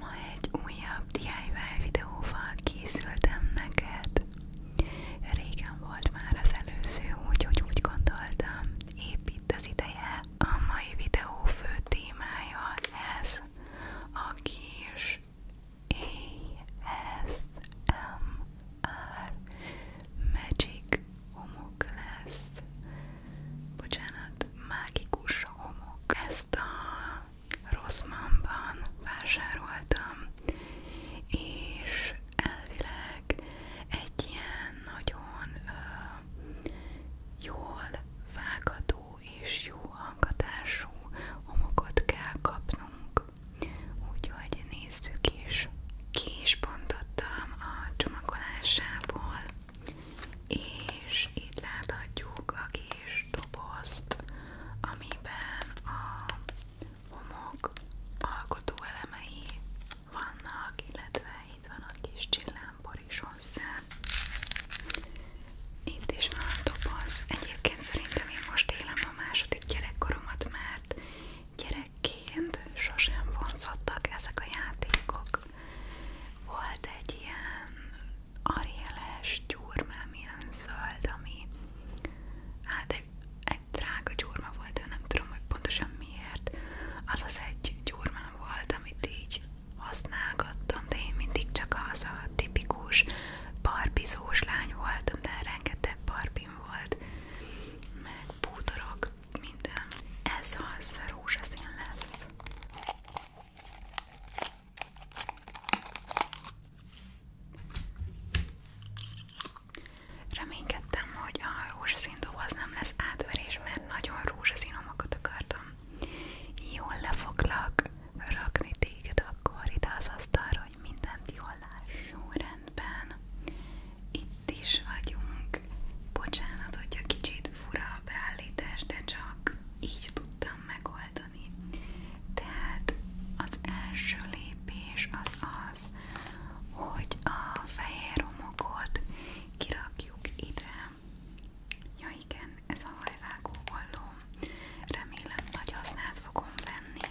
Ma egy újabb DIY videóval készültem neked. Régen volt már az előző, úgyhogy úgy gondoltam, épp itt az ideje. A mai videó fő témája ez a kis ASMR Magic homok lesz. Bocsánat, mágikus homok. Ezt a Rossmannban vásároltam, és elvileg egy ilyen nagyon ö, jól vágató és jó hangatású homokot kell kapnunk. Úgyhogy nézzük is. Ki is bontottam a csomagolásából, és itt láthatjuk a kis kis dobozt, amiben a homok alkotó elemei vannak, illetve itt van a kis csillámpor is hozzá. Itt is van a doboz. Egyébként szerintem én most élem a második gyerekkoromat, mert gyerekként sosem vonzottak ezek a játékok. Volt egy ilyen arjeles gyurmám, ilyen zöld, ami hát egy, egy drága gyurma volt, de nem tudom, hogy pontosan miért. Az az egy gyurmám volt, amit így használgattam, de én mindig csak az a tipikus barbizós lány voltam, de rengeteg barbim volt, meg bútorok, minden. Ez az rózsaszín lesz. Reménykedtem, hogy a rózsaszín doboz nem lesz átverés, mert nagyon rózsaszín omakat akartam. Jól le foglak rakni téged akkor ide az asztalra, hogy mindent jól láss. Jó rendben. Itt is vagyunk. Bocsánat, hogyha kicsit fura a beállítás, de csak így tudtam megoldani megoldani. Tehát az első lépés az az, hogy a fehér homokot kirakjuk ide. Ja igen, ez a hajvágó olló. Remélem nagy hasznát fogom venni.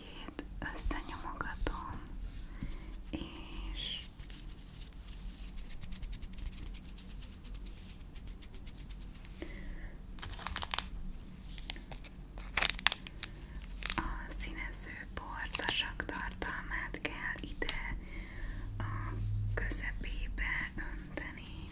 két összenyomogatom, és a színező portasak tartalmát kell ide a közepébe önteni.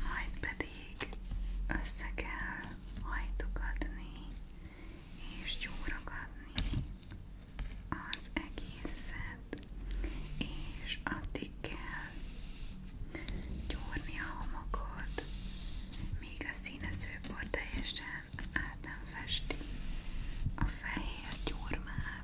Majd pedig össze kell hajtogatni és gyúrogatni az egészet, és addig kell gyúrni a homokot, míg a színezőpor teljesen át nem festi a fehér gyurmát.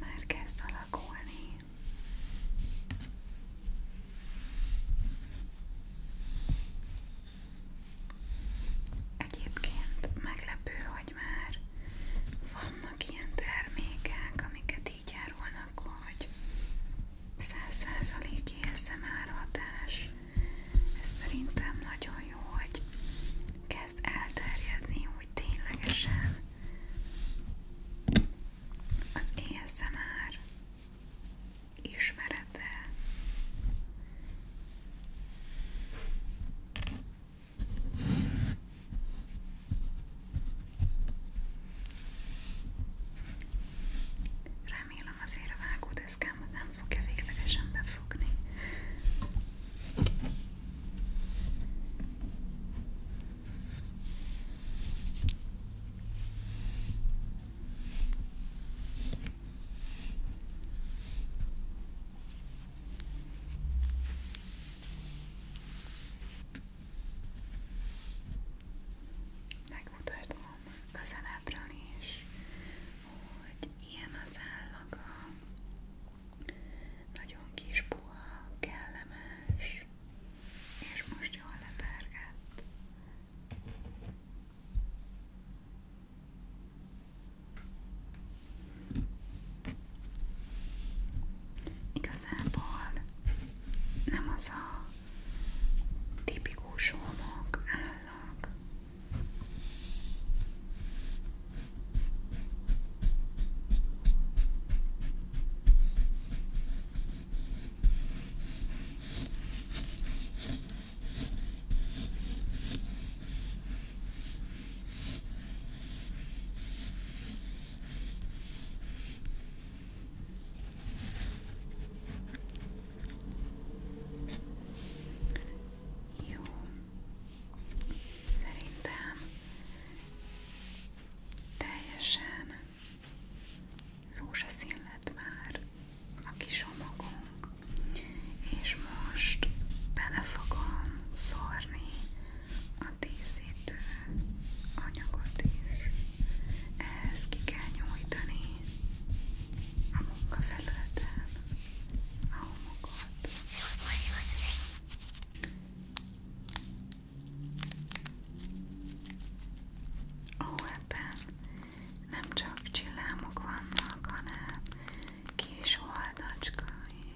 Már kezd alakulni. Egyébként meglepő, hogy már van vannak ilyen termékek, amiket így árulnak, hogy 100% ASMR hatás. Ez szerintem nagyon jó, hogy kezd elterjedni, hogy ténylegesen az ASMR ismerete Remélem azért a vágódeszkám nem fogja véglegesen befogni. Megmutatom közelebbről is, hogy ilyen az állaga, nagyon kis puha, kellemes, és most jól lepergett. Igazából nem az a tipikus homok állag. Jó, szerintem teljesen rózsaszín lett már a kis homokunk, és most bele fogom szórni a díszítő anyagot is. Ehhez ki kell nyújtani a munkafelületen a homokot. Ó, ebben nem csak csillámok vannak, hanem kis oldacska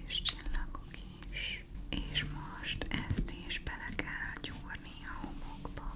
és csillagok is, és most ezt is bele kell gyúrni a homokba.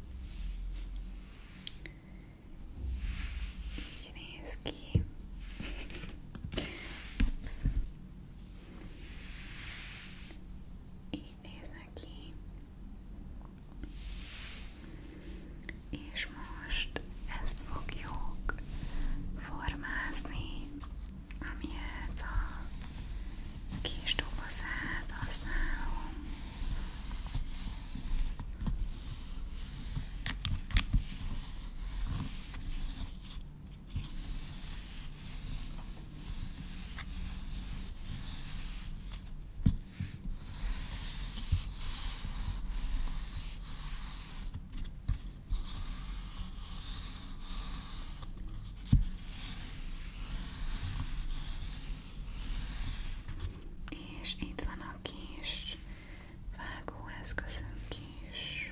Így néz ki. Ups. Így néznek ki. És most ezt fogjuk formázni, amihez a kis dobozát használom. És itt van a kis vágóeszközünk is.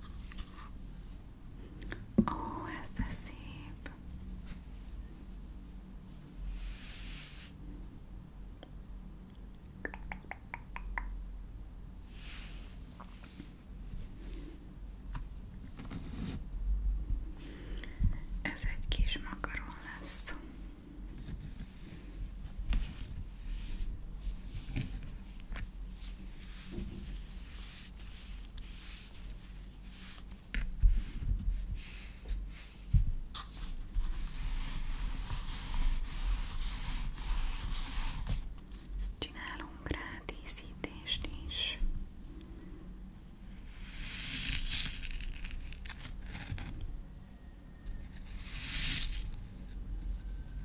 Ó, oh, ez de szép. Ez egy kis makaron lesz. Csinálunk rá díszítést is.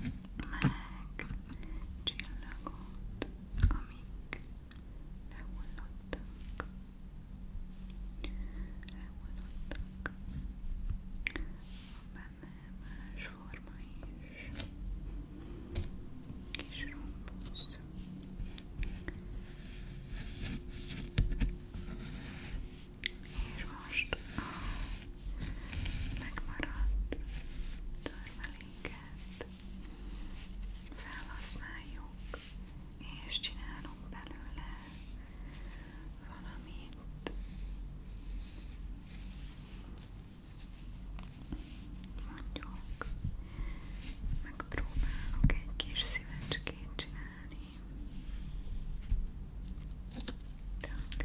meg csillagot, amik lehullottak, lehullottak. Van benne más forma is, kis rombusz. És most a megmaradt törmeléket felhasználjuk, és csinálunk belőle valamit. Mondjuk, megpróbálok egy kis szívecskét csinálni. De akár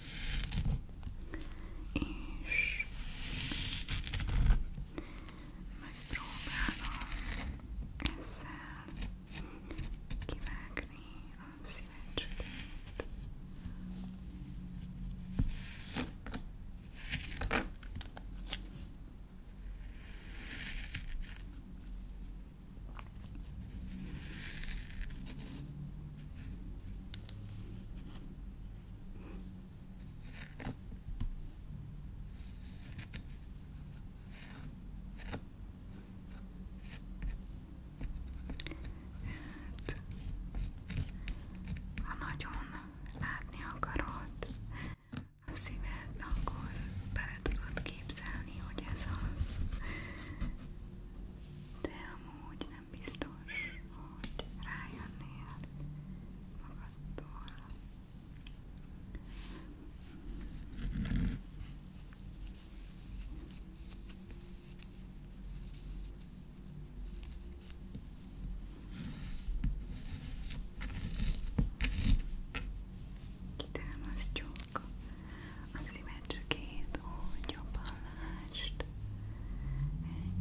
és megpróbálom ezzel kivágni a szívecskéket. Jó, Hát, ha nagyon látni akarod a szíved, akkor bele tudod képzelni, hogy ez az. De amúgy nem biztos, hogy rájönnél magadtól. Kitámasztjuk az imedzsükét, hogy jobban mást.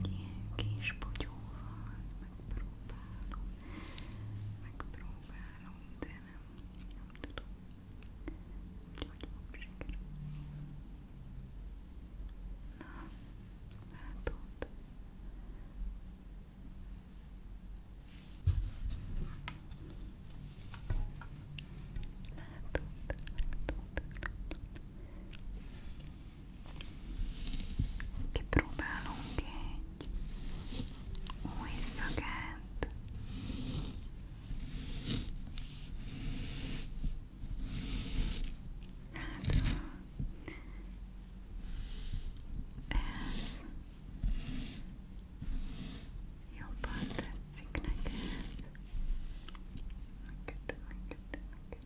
Egy ilyen kis bogyóval megpróbálom, megpróbálom, de nem, nem tudom, hogy hogy fog sikerülni. Na, látod? Látod, látod, látod. Kipróbálunk egy új szagát. Hát, ez jobban tetszik neked. Neked, neked, neked.